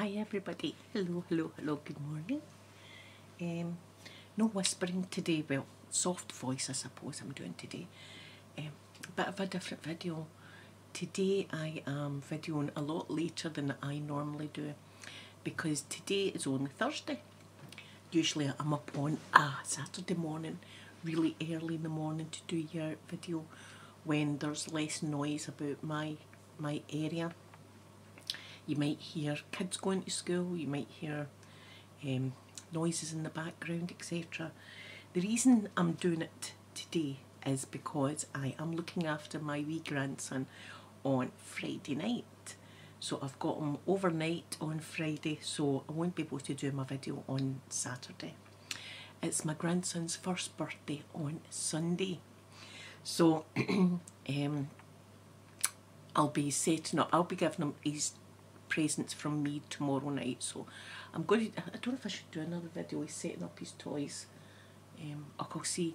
Hi everybody. Hello, hello, hello. Good morning. Um, no whispering today. Well, soft voice I suppose I'm doing today. Um, a bit of a different video. Today I am videoing a lot later than I normally do because today is only Thursday. Usually I'm up on a Saturday morning, really early in the morning to do your video when there's less noise about my my area. You might hear kids going to school, you might hear um, noises in the background, etc. The reason I'm doing it today is because I am looking after my wee grandson on Friday night. So I've got them overnight on Friday, so I won't be able to do my video on Saturday. It's my grandson's first birthday on Sunday. So um, I'll be setting up, I'll be giving him his presents from me tomorrow night. So I'm going to, I don't know if I should do another video, he's setting up his toys. Um, I'll go see.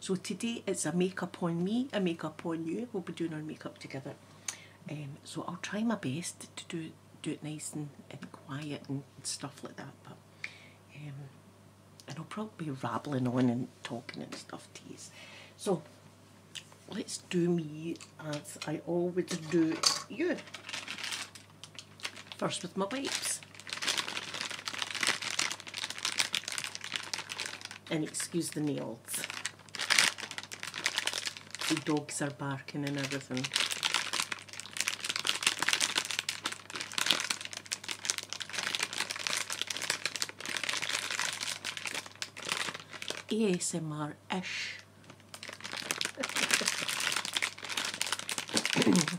So today it's a makeup on me, a makeup on you. We'll be doing our makeup together. Um, so I'll try my best to do do it nice and, and quiet and stuff like that. But um, and I'll probably be rambling on and talking and stuff to you. So let's do me as I always do you. First with my wipes. And excuse the nails. The dogs are barking and everything. ASMR-ish.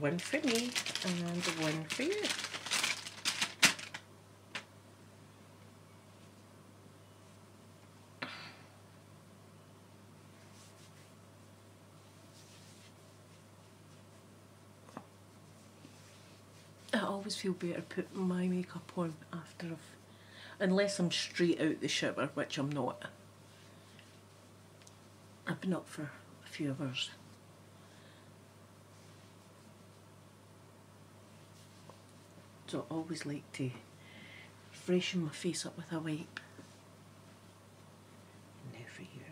One for me and one for you. I always feel better put my makeup on after I've, unless I'm straight out the shower, which I'm not. I've been up for a few hours. So I always like to freshen my face up with a wipe. Now for you.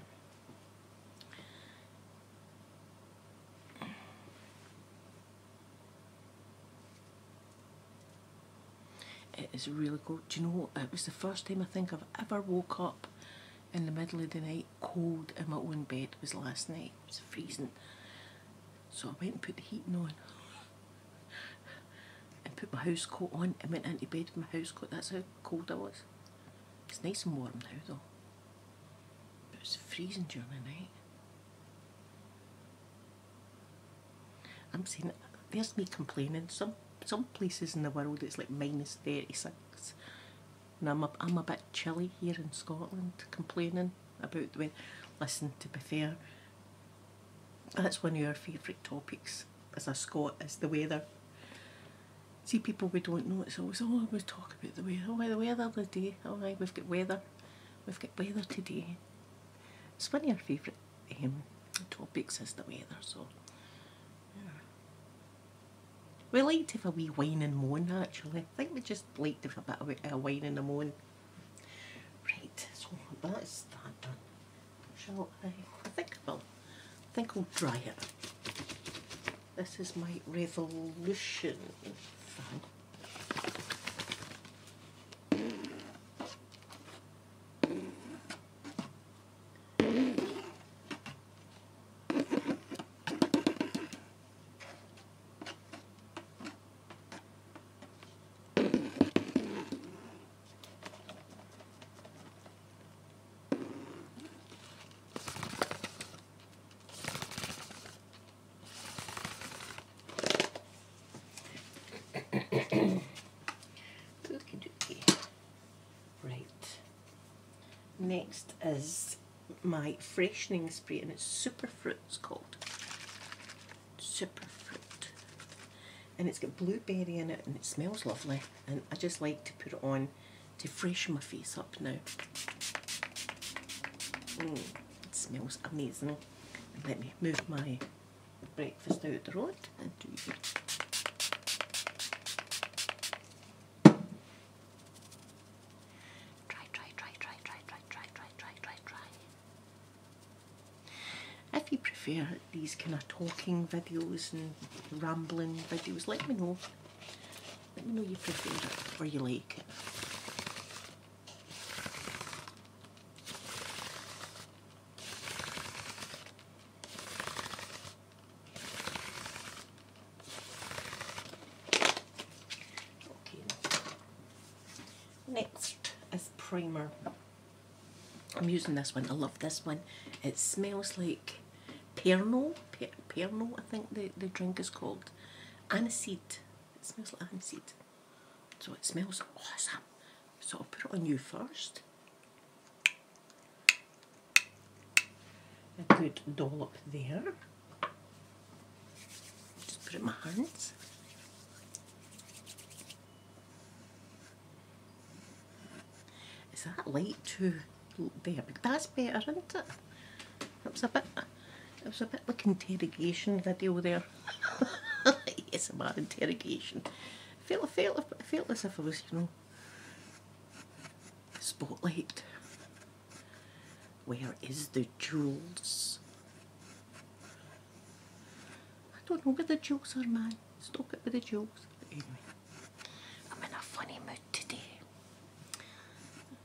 It is really cold. Do you know, it was the first time I think I've ever woke up in the middle of the night cold in my own bed it was last night. It was freezing. So I went and put the heating on and put my house coat on and went into bed with my house coat. That's how cold I was. It's nice and warm now though. But it's freezing during the night. I'm saying, there's me complaining. Some some places in the world it's like minus 36. And I'm a, I'm a bit chilly here in Scotland complaining about the weather. Listen, to be fair, that's one of your favourite topics as a Scot is the weather. See people we don't know, it's always, oh, I was about the weather, oh, the weather the day, oh, we've got weather, we've got weather today. It's one of your favourite um, topics is the weather, so, We like to have a wee wine and moan, actually. I think we just like to have a bit of a wine and a moan. Right, so that's that done. Shall I? I think I will. think I'll dry it. This is my revolution Right. Next is my freshening spray and it's Superfruit it's called. Superfruit. And it's got blueberry in it and it smells lovely and I just like to put it on to freshen my face up now. Mm, it smells amazing. let me move my breakfast out the road and do it. If you prefer these kind of talking videos and rambling videos, let me know. Let me know your preference or you like it. Okay. Next is primer. I'm using this one. I love this one. It smells like Perno, Perno, I think the, the drink is called. Aniseed. It smells like aniseed. So it smells awesome. So I'll put it on you first. A good dollop there. Just put it in my hands. Is that late too? there that's better isn't it it was a bit it was a bit like interrogation video there yes my interrogation I felt, I felt, I felt as if I was you know spotlight where is the jewels I don't know where the jewels are man stop it with the jewels anyway I'm in a funny mood today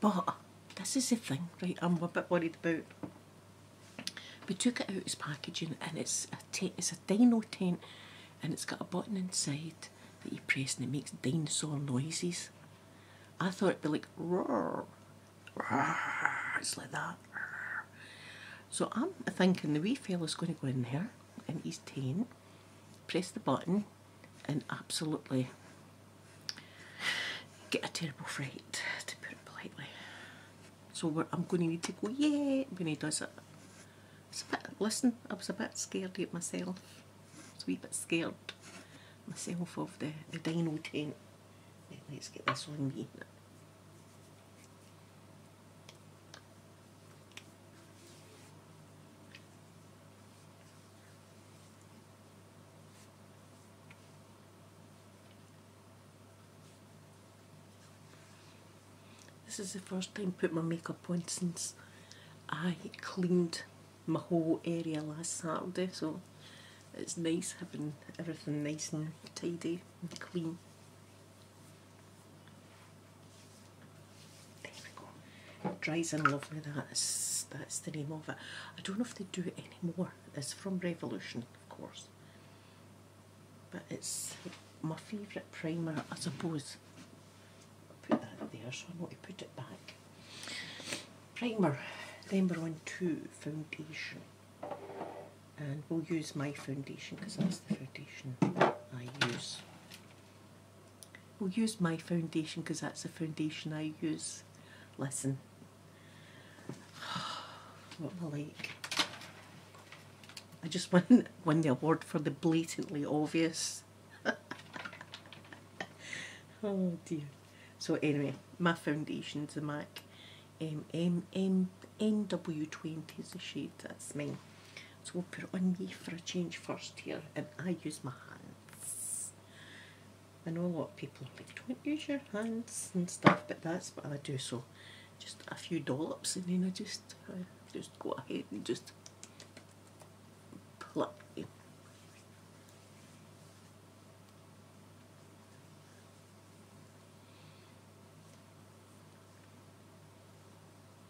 But this is the thing, right? I'm a bit worried about. We took it out its packaging, and it's a it's a dino tent, and it's got a button inside that you press, and it makes dinosaur noises. I thought it'd be like roar, it's like that. So I'm thinking the wee fella's going to go in there in his tent, press the button, and absolutely get a terrible fright, to put it politely. So I'm going to need to go, yeah, when he does it. listen, I was a bit scared of myself. I a wee bit scared myself of the, the dino tent. let's get this one in. This is the first time put my makeup on since I cleaned my whole area last Saturday so it's nice having everything nice and tidy and clean. There we go. Dries in lovely. That's that's the name of it. I don't know if they do it anymore. It's from Revolution, of course. But it's my favourite primer, I suppose. i put that there so I am know to put it back. Primer. Then we're on to foundation. And we'll use my foundation because that's the foundation I use. We'll use my foundation because that's the foundation I use. Listen. what am I like? I just won, won the award for the blatantly obvious. oh dear. So anyway, my foundation's the MAC um, 20 is that's me. So we'll put it on me for a change first here, and I use my hands. I know a lot of people are like, don't use your hands and stuff, but that's what I do. So just a few dollops, and then I just, just go ahead and just pluck it.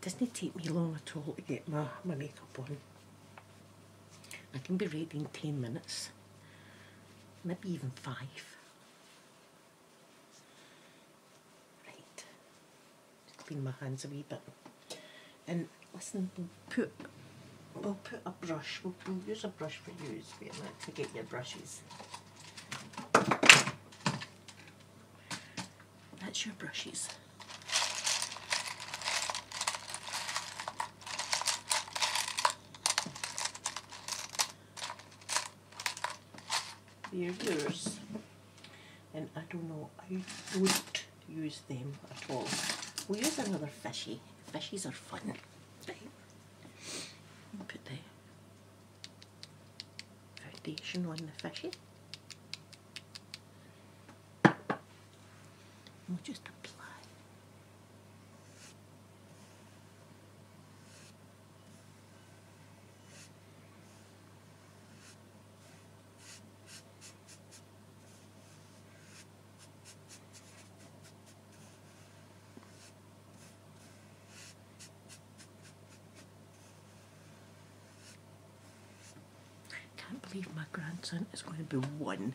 doesn't it take me long at all to get my, my makeup on. I can be ready in 10 minutes, maybe even 5. Right, clean my hands a wee bit. And listen, we'll put, we'll put a brush, we'll, we'll use a brush for you. Wait to get your brushes. That's your brushes. They're yours. And I don't know, I don't use them at all. We'll use another fishy. Fishies are fun. Put the foundation on the fishy we'll just apply. I can't believe my grandson is going to be one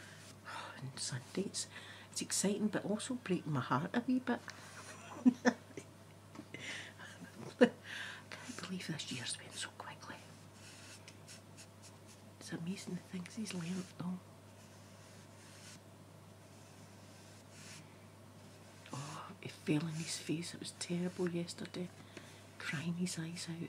on Sundays, It's, exciting but also breaking my heart a wee bit. I can't believe this year's been so quickly. It's amazing the things he's learnt though. Oh, it fell in his face. It was terrible yesterday. Crying his eyes out.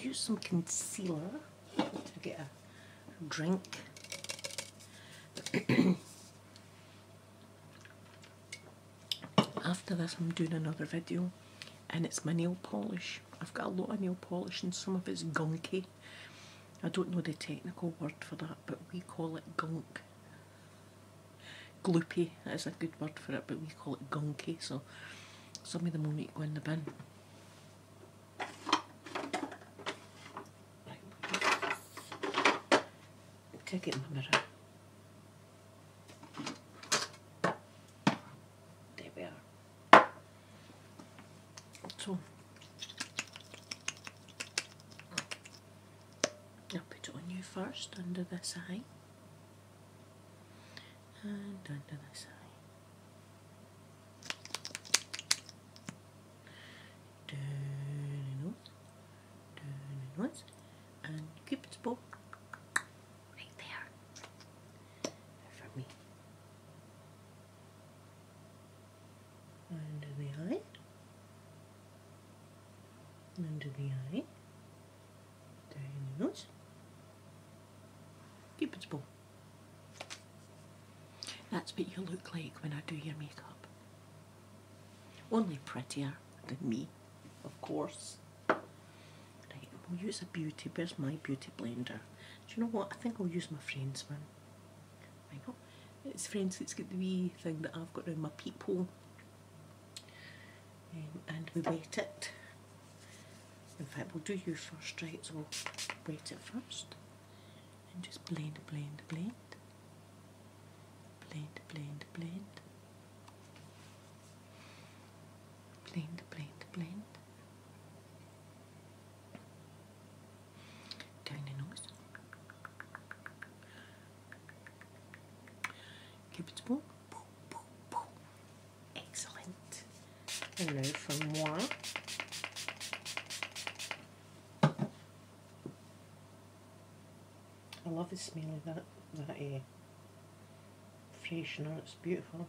use uh, some concealer to get a drink. After this I'm doing another video and it's my nail polish. I've got a lot of nail polish and some of it's gunky. I don't know the technical word for that but we call it gunk. Gloopy is a good word for it but we call it gunky so some of them will need to go in the bin take it in the mirror. There we are. So, I'll put it on you first under this eye and under the eye. Turn it once, turn it once, and Cupid's bow right there for me. Under the eye, under the eye, turn it once, Cupid's bow. That's what you look like when I do your makeup. Only prettier than me, of course. Right, we'll use a beauty. Where's my beauty blender? Do you know what? I think I'll use my friend's one. Hang on. It's friends that's got the wee thing that I've got around my peephole. Um, and we wet it in fact, we'll do you first, right? So we'll wet it first and just blend, blend, blend. Blend, blend, blend. Blend, blend, blend. Down the nose. Cupid's bow. Excellent. And now for I love the smell of that, that uh, freshener, it's beautiful.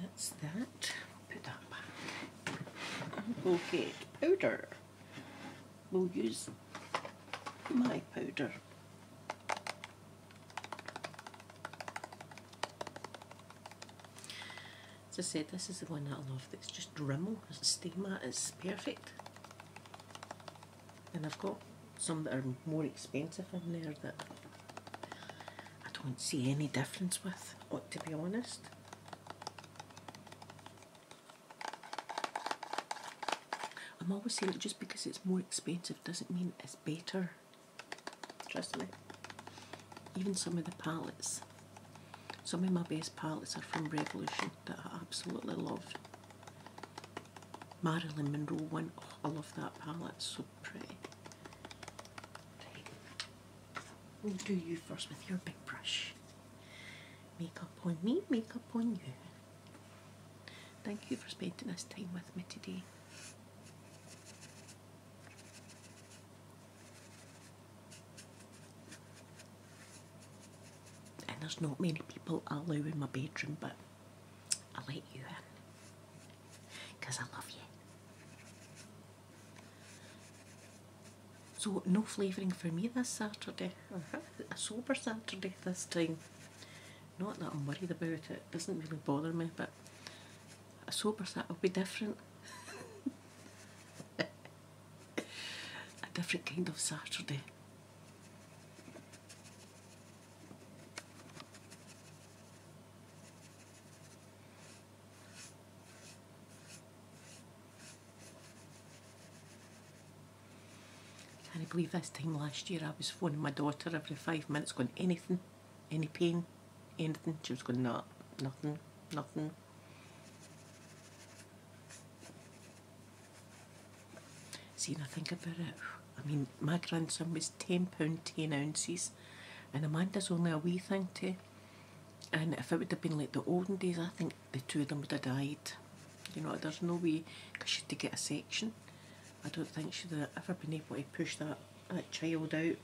That's that. Put that back. we get powder. We'll use my powder. As I said, this is the one that I love. It's just Rimmel. It's stain matte. It's perfect. And I've got some that are more expensive in there that I don't see any difference with, to be honest. I'm always saying just because it's more expensive doesn't mean it's better. Trust me. Even some of the palettes, some of my best palettes are from Revolution that I absolutely love. Marilyn Monroe one, oh, I love that palette We'll do you first with your big brush. Makeup on me, makeup on you. Thank you for spending this time with me today. And there's not many people allowed in my bedroom, but I will let you in because I love you. So no flavouring for me this Saturday. A sober Saturday this time. Not that I'm worried about it. It doesn't really bother me, but a sober Saturday will be different. a different kind of Saturday. Can not believe this time last year I was phoning my daughter every five months, going anything, any pain, anything. She was going, no, nothing, nothing. See, and I think about it, I mean, my grandson was £10, 10 ounces. And Amanda's only a wee thing too. And if it would have been like the olden days, I think the two of them would have died. You know, there's no way because she'd get a section. I don't think she'd ever been able to push that child out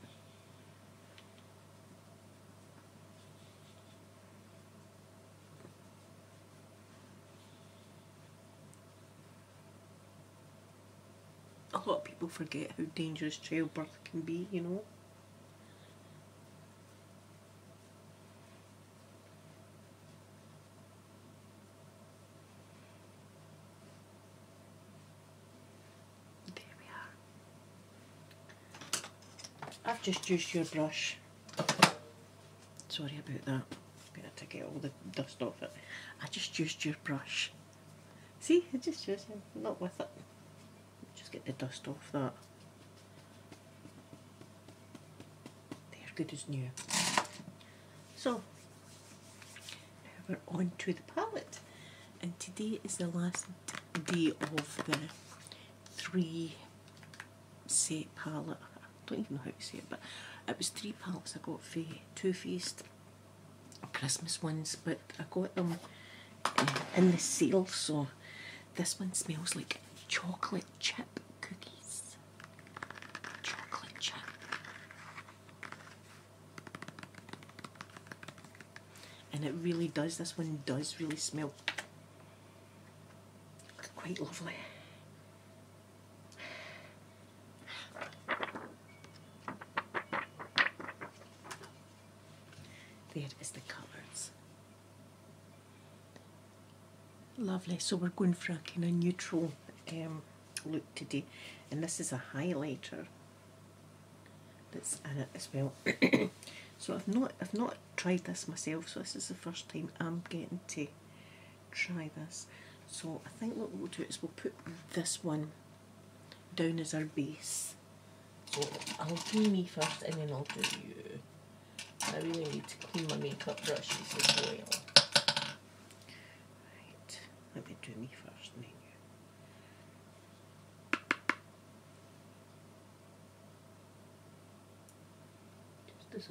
a lot of people forget how dangerous childbirth can be, you know. There we are. I've just used your brush. Sorry about that. I'm going to get all the dust off it. I just used your brush. See, it just shows you not with it. Just get the dust off that. They're good as new. So, we're on to the palette. And today is the last day of the three set palette. I don't even know how to say it, but it was three palettes I got for two feast. Christmas ones, but I got them eh, in the sale, so this one smells like chocolate chip cookies. Chocolate chip. And it really does, this one does really smell quite lovely. There is the colours. Lovely, so we're going for a kind of neutral um, look today and this is a highlighter that's in it as well. so I've not, I've not tried this myself so this is the first time I'm getting to try this. So I think what we'll do is we'll put this one down is our base. So I'll do me first and then I'll do you. I really need to clean my makeup brushes as well. Right, let me me first then you. Just as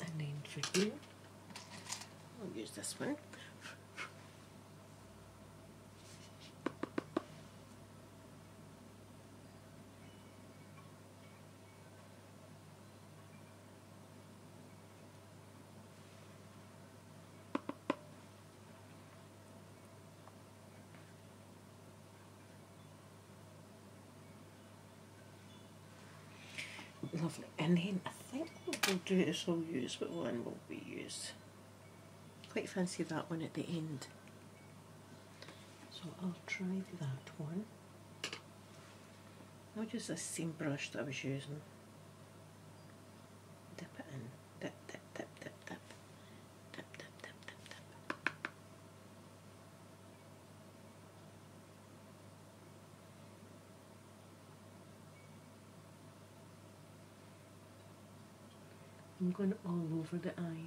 And then for glue, I'll use this one. Lovely. And then I think we'll do is all. use but one will be used. Quite fancy that one at the end. So I'll try that one. I'll use the same brush that I was using. Dip it in. Dip, dip, dip, dip, dip. Dip, dip, dip, dip, dip. I'm going all over the eye.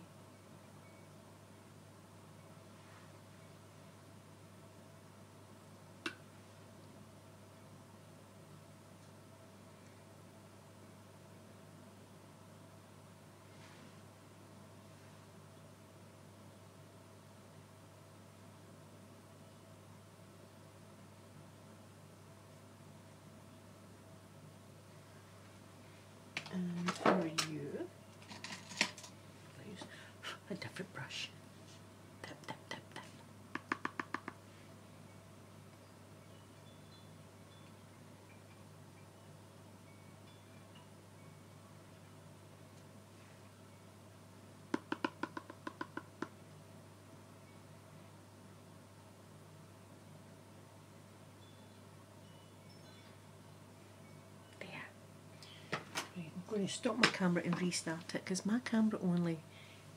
And for you, use a different brush. Tap, tap, tap, tap. There. I'm going to stop my camera and restart it because my camera only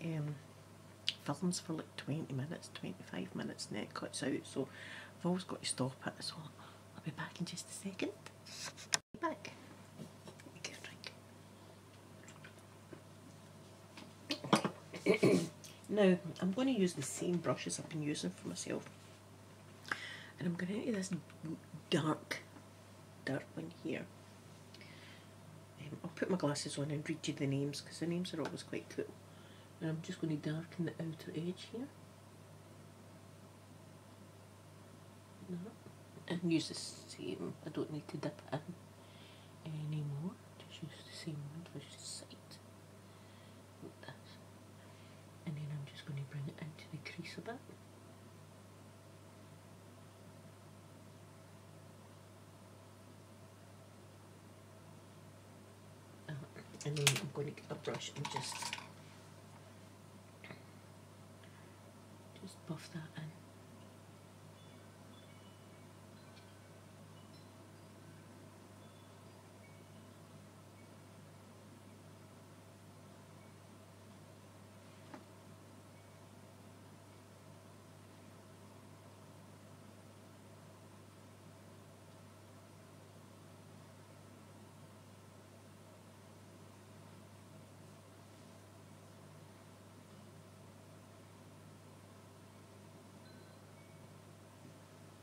um, films for like 20 minutes, 25 minutes and it cuts out so I've always got to stop it so I'll be back in just a second. back. now, I'm going to use the same brushes I've been using for myself. And I'm going to use this dark, dark one here. Um, I'll put my glasses on and read you the names because the names are always quite cool. And I'm just going to darken the outer edge here and use the same. I don't need to dip in anymore. Just use the same one for the side. And then I'm just going to bring it into the crease a bit. Ah, and then I'm going to get a brush and just just buff that in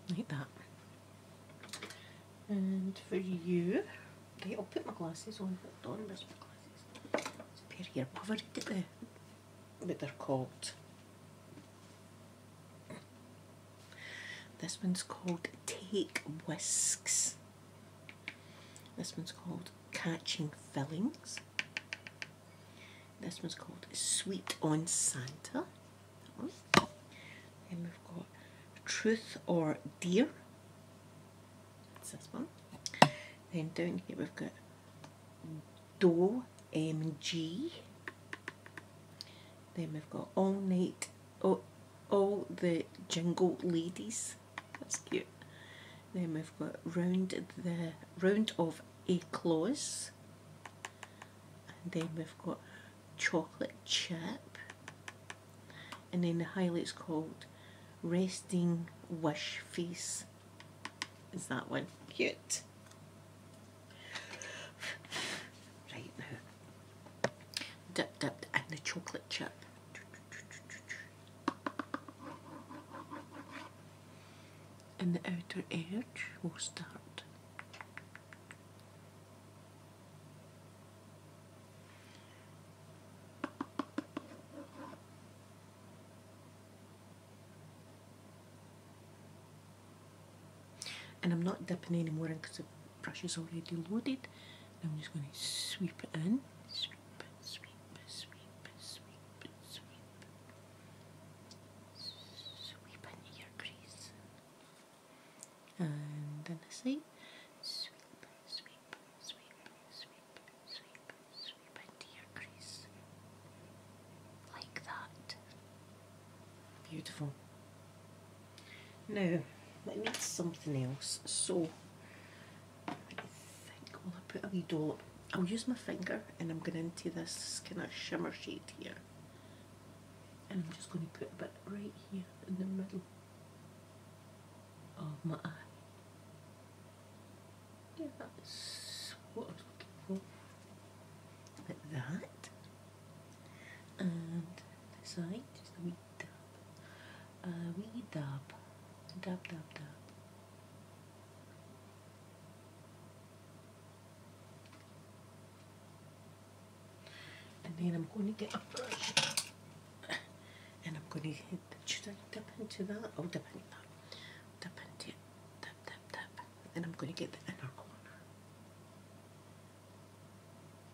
like that. And for you, okay. I'll put my glasses on. Hold on, where's my glasses? It's pair here. I've already they're called. This one's called Take Whisks. This one's called Catching Fillings. This one's called Sweet on Santa. Then we've got Truth or Dear. That's this one. Then down here we've got Do MG. Then we've got All Night Oh, all the jingle ladies. That's cute. Then we've got round the round of eclaws, and then we've got chocolate chip, and then the highlight's called resting wash face. Is that one cute? right now Dip, dip, and the chocolate chip. And the outer edge will start. And I'm not dipping anymore because brush is already loaded. I'm just going to sweep it in. Sweep, sweep, sweep, sweep, sweep. Sweep into your crease. And then I say sweep, sweep, sweep, sweep, sweep, sweep into your crease. Like that. Beautiful. Now, I need something else, so I think I'll put a wee dollop. I'll use my finger and I'm going into this kind of shimmer shade here. And I'm just going to put a bit right here in the middle of my eye. Yeah, that's what I was looking for. Like that. And this side, just a wee uh, we dub, dub, dub, dub. And then I'm going to get a brush and I'm going to hit, into that? Oh, dip into that. Dip into it. Dip, dip, dip. And I'm going to get the inner corner.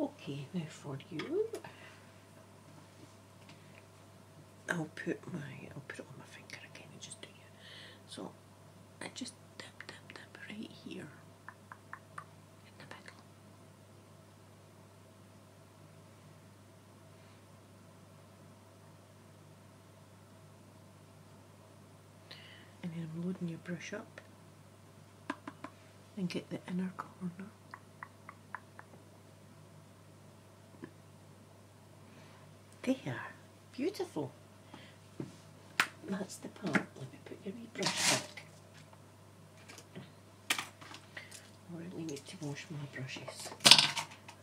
Okay, now for you, I'll put my, I'll put it on my finger again and just do it. So I just tap, tap, tap right here in the middle and then I'm loading your brush up and get the inner corner there beautiful that's the part let me put your wee brush back I really need to wash my brushes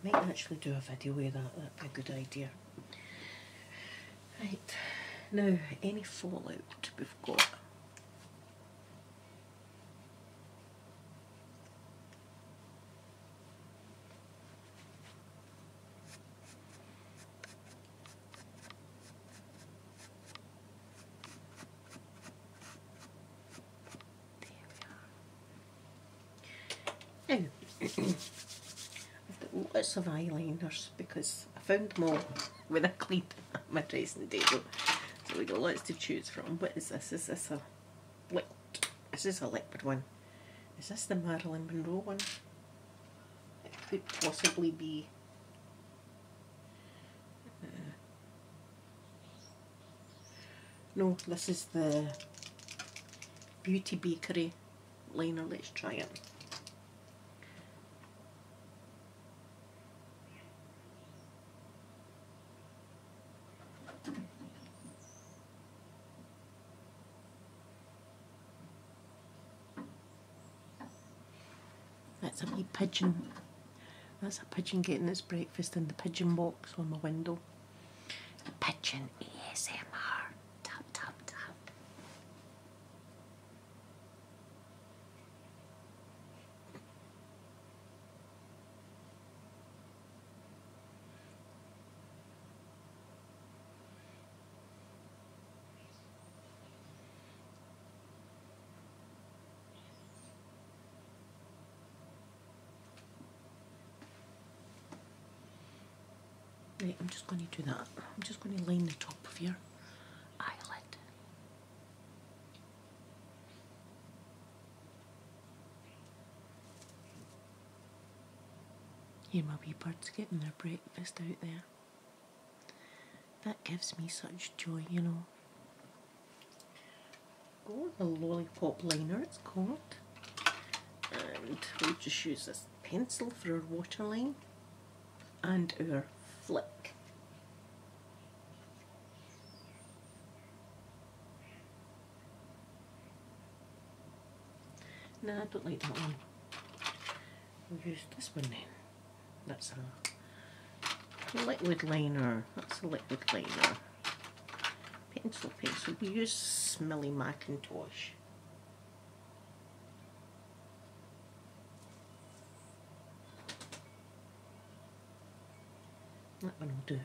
I might actually do a video with that, that'd be a good idea. Right, now any fallout we've got. I've got lots of eyeliners because I found them all when I cleaned my dressing table. So we got lots to choose from. What is this? Is this a lip? This a leopard one. Is this the Marilyn Monroe one? It could possibly be. Uh, no, this is the Beauty Bakery liner. Let's try it. That's a wee pigeon. That's a pigeon getting its breakfast in the pigeon box on my window. Pigeon ASMR. Top, top, top. Right, I'm just going to do that. I'm just going to line the top of your eyelid. Hear my wee birds getting their breakfast out there. That gives me such joy, you know. Oh, the lollipop liner it's called and we'll just use this pencil for our waterline and our flick. No, I don't like that one. We'll use this one then. That's a liquid liner. That's a liquid liner. Pencil, pencil, you smelly Macintosh. That one will do.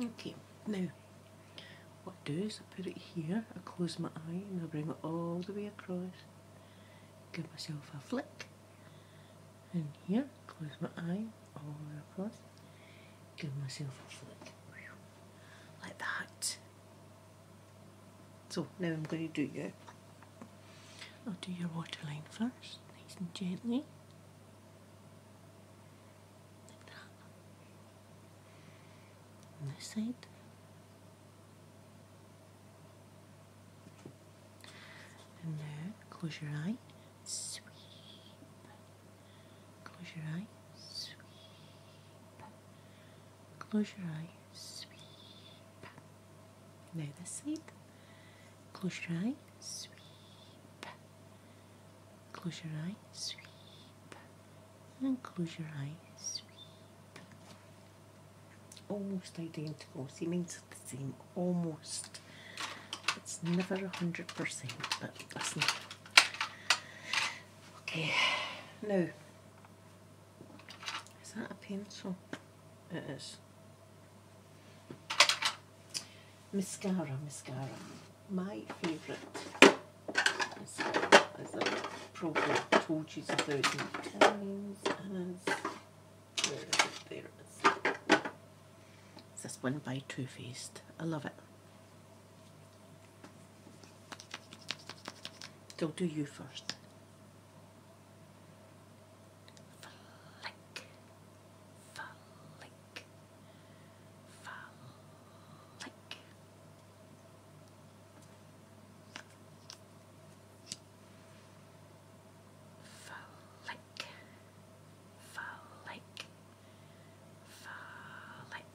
Okay, now what I do is I put it here, I close my eye and I bring it all the way across, give myself a flick, and here, close my eye, all the way across, give myself a flick, like that. So now I'm going to do your, I'll do your waterline first, nice and gently on this side and now close your eye sweep close your eye sweep close your eye sweep now this side close your eye sweep Close your eyes, sweep, and close your eyes, sweep. Almost identical. See, mine's the same, almost. It's never a hundred percent, but listen. Okay, No. is that a pencil? It is. Mascara, mascara my favourite. As I've probably told you a thousand times, is, it is. It's this one by Two Faced. I love it. I'll do you first. Folic. Folic. Folic. Folic. Folic.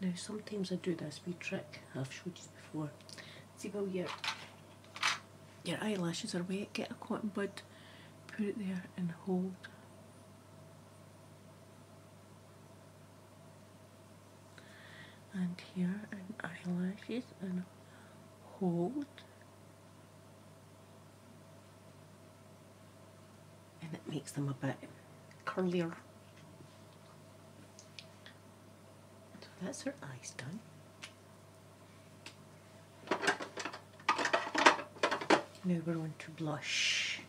Now sometimes I do this wee trick I've showed you before. See well your your eyelashes are wet, get a cotton bud, put it there and hold. And here and eyelashes and hold. And it makes them a bit curlier. So that's her eyes done. Now we're going to blush.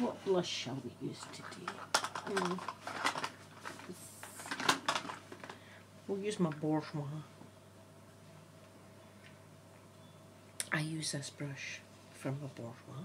What blush shall we use today? Hmm. we'll use my bourgeois. I use this brush from my bourgeois.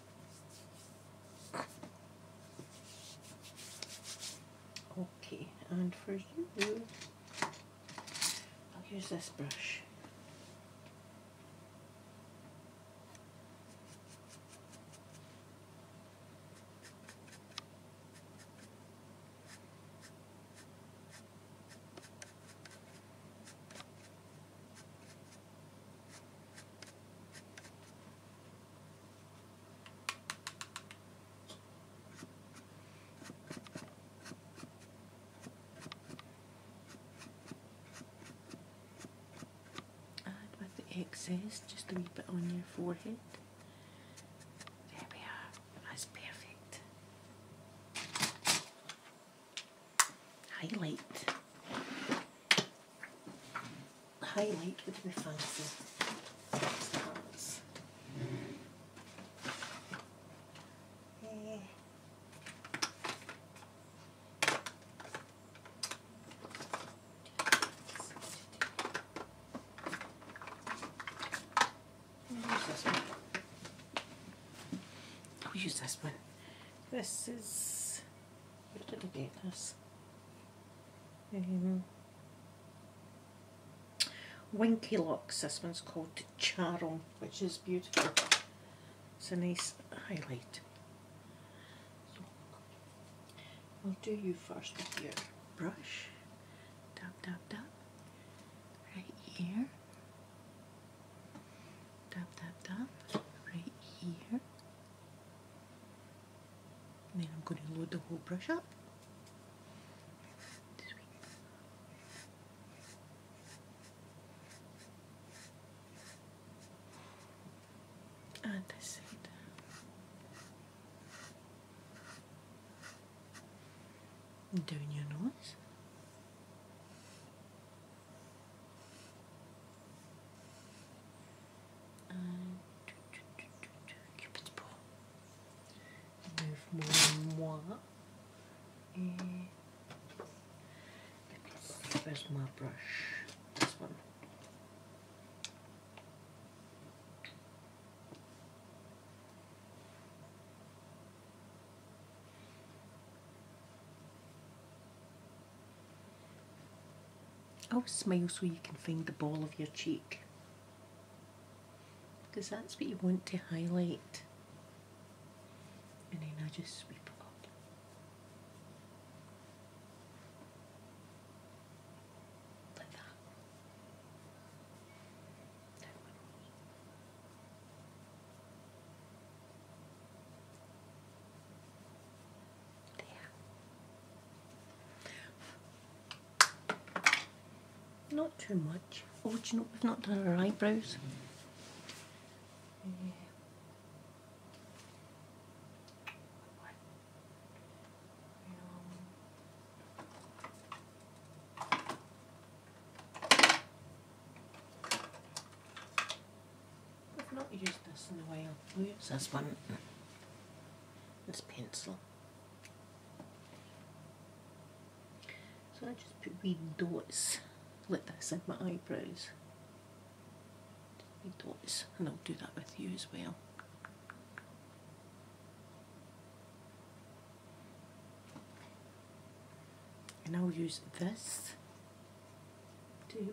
Okay, and for you, I'll oh, use this brush. I with the excess, just leave it on your forehead. There we are. That's perfect highlight. Highlight with your fancy stars. Eh. this one. This is a little bit less. Um, Winky Locks, this one's called Charm, which is beautiful. It's a nice highlight. So, I'll do you first with your brush. Dab, dab, dab. Right here. Dab, dab, dab. Right here then I'm going to load the whole brush up. And this side. Down your nose. Uh, Cupid's bow. Move more and more. And where's my brush? This one i Oh, smile so you can find the ball of your cheek. Because that's what you want to highlight. And then I just sweep up. Not too much. Oh, do you know we've not done our eyebrows? Yeah. I've not used this in a while. I'll use this one. This pencil. So I just put wee dots like that in my eyebrows. Wee dots. And I'll do that with you as well. And I'll use this to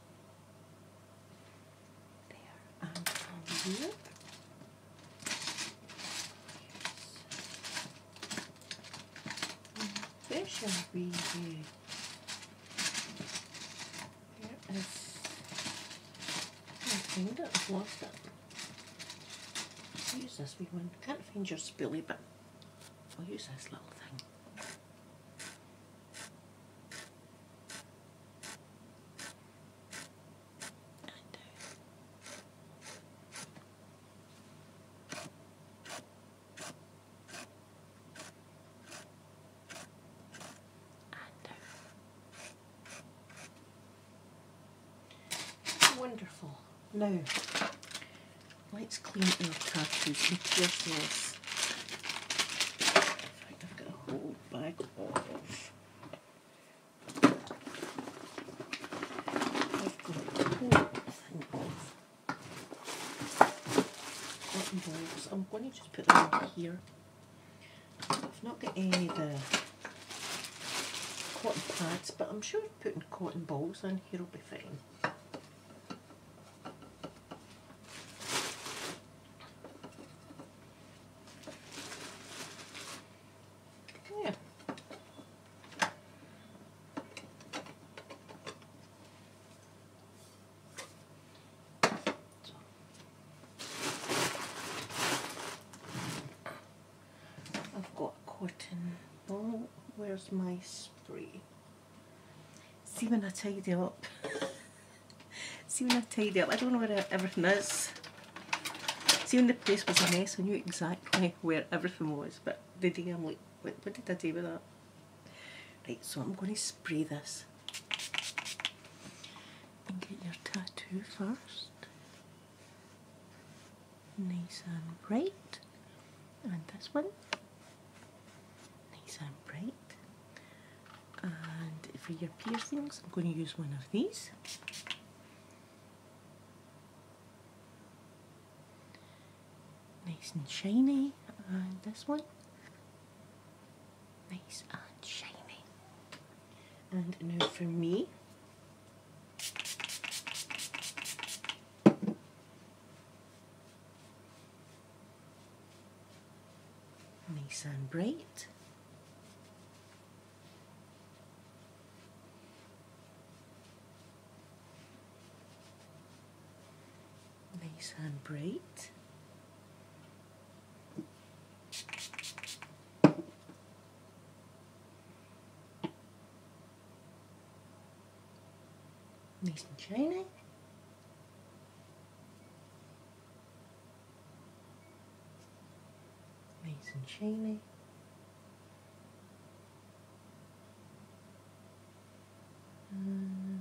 There, I'm it. Fish are being good. There is my finger. I've lost it. use this wee one. Can't find your spoolie, but I'll use this little thing. Wonderful. Now, let's clean our cartridge and pierce this. I've got a hole i cotton balls. I'm going to just put them in here. I've not got any of the cotton pads, but I'm sure putting cotton balls in here will be fine. Yeah. I've got cotton Oh, Where's my spray? See when I tidy up. See when I tidy up, I don't know where everything is. See when the place was a mess, I knew exactly where everything was, but the day I'm like, what, did I do with that? Right, so I'm going to spray this. And get your tattoo first. Nice and bright. And this one. Nice and bright and for your piercings I'm going to use one of these nice and shiny and this one nice and shiny and now for me nice and bright. Nice and bright. Nice and shiny. Nice and shiny. And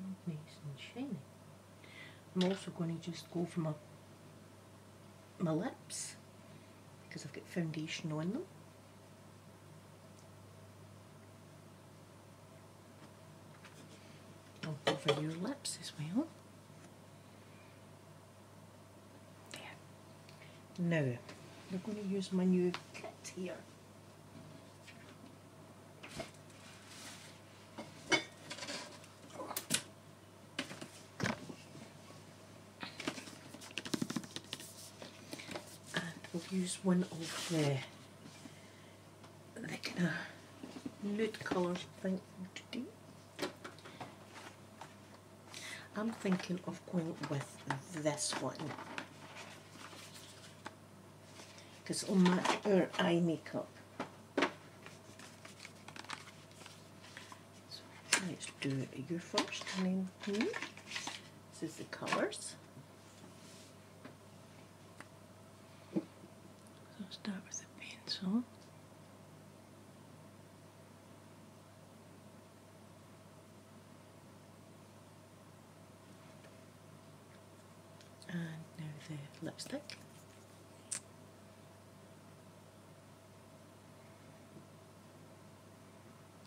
I'm also going to just go for my, my lips because I've got foundation on them. over your lips as well. No, I'm going to use my new kit here. and we'll use one of the the kind of nude colours I think for today. I'm thinking of going with this one because on my her eye makeup. So let's do it. you first and then This is the colours. So start with a pencil. And now the lipstick.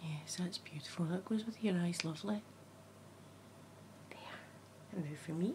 Yes, that's beautiful. That goes with your eyes, lovely. There. And now for me,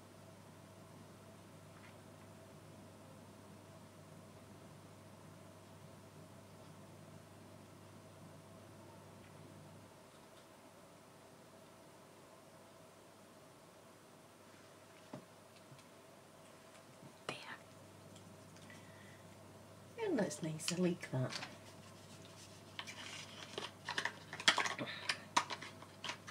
There. It looks nice, I like that.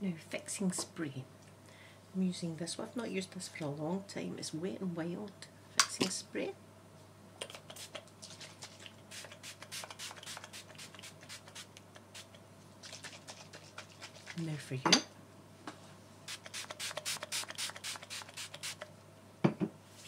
Now fixing spray. I'm using this one. I've not used this for a long time. It's wet and wild fixing spray. Now for you.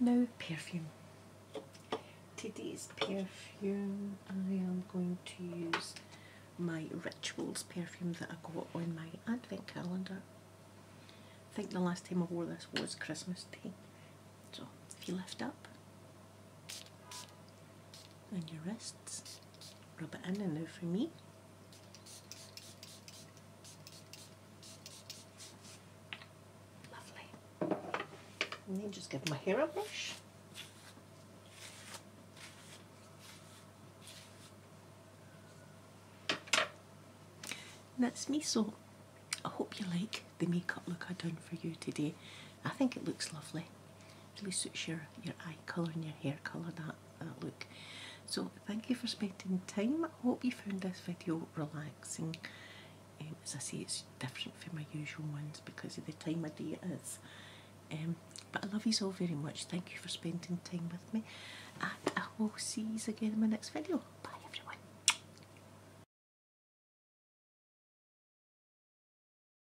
No perfume. Today's perfume I am going to use my Rituals perfume that I got on my advent calendar. I think the last time I wore this was Christmas Day. So if you lift up, and your wrists. Rub it in and out for me. Lovely. And then just give my hair a brush. that's me, so I hope you like the makeup look I've done for you today. I think it looks lovely. It really suits your, your eye colour and your hair colour, that, that look. So thank you for spending time. I hope you found this video relaxing. Um, as I say, it's different from my usual ones because of the time of day it is. Um, but I love you all very much. Thank you for spending time with me. I will see you again in my next video. Bye everyone.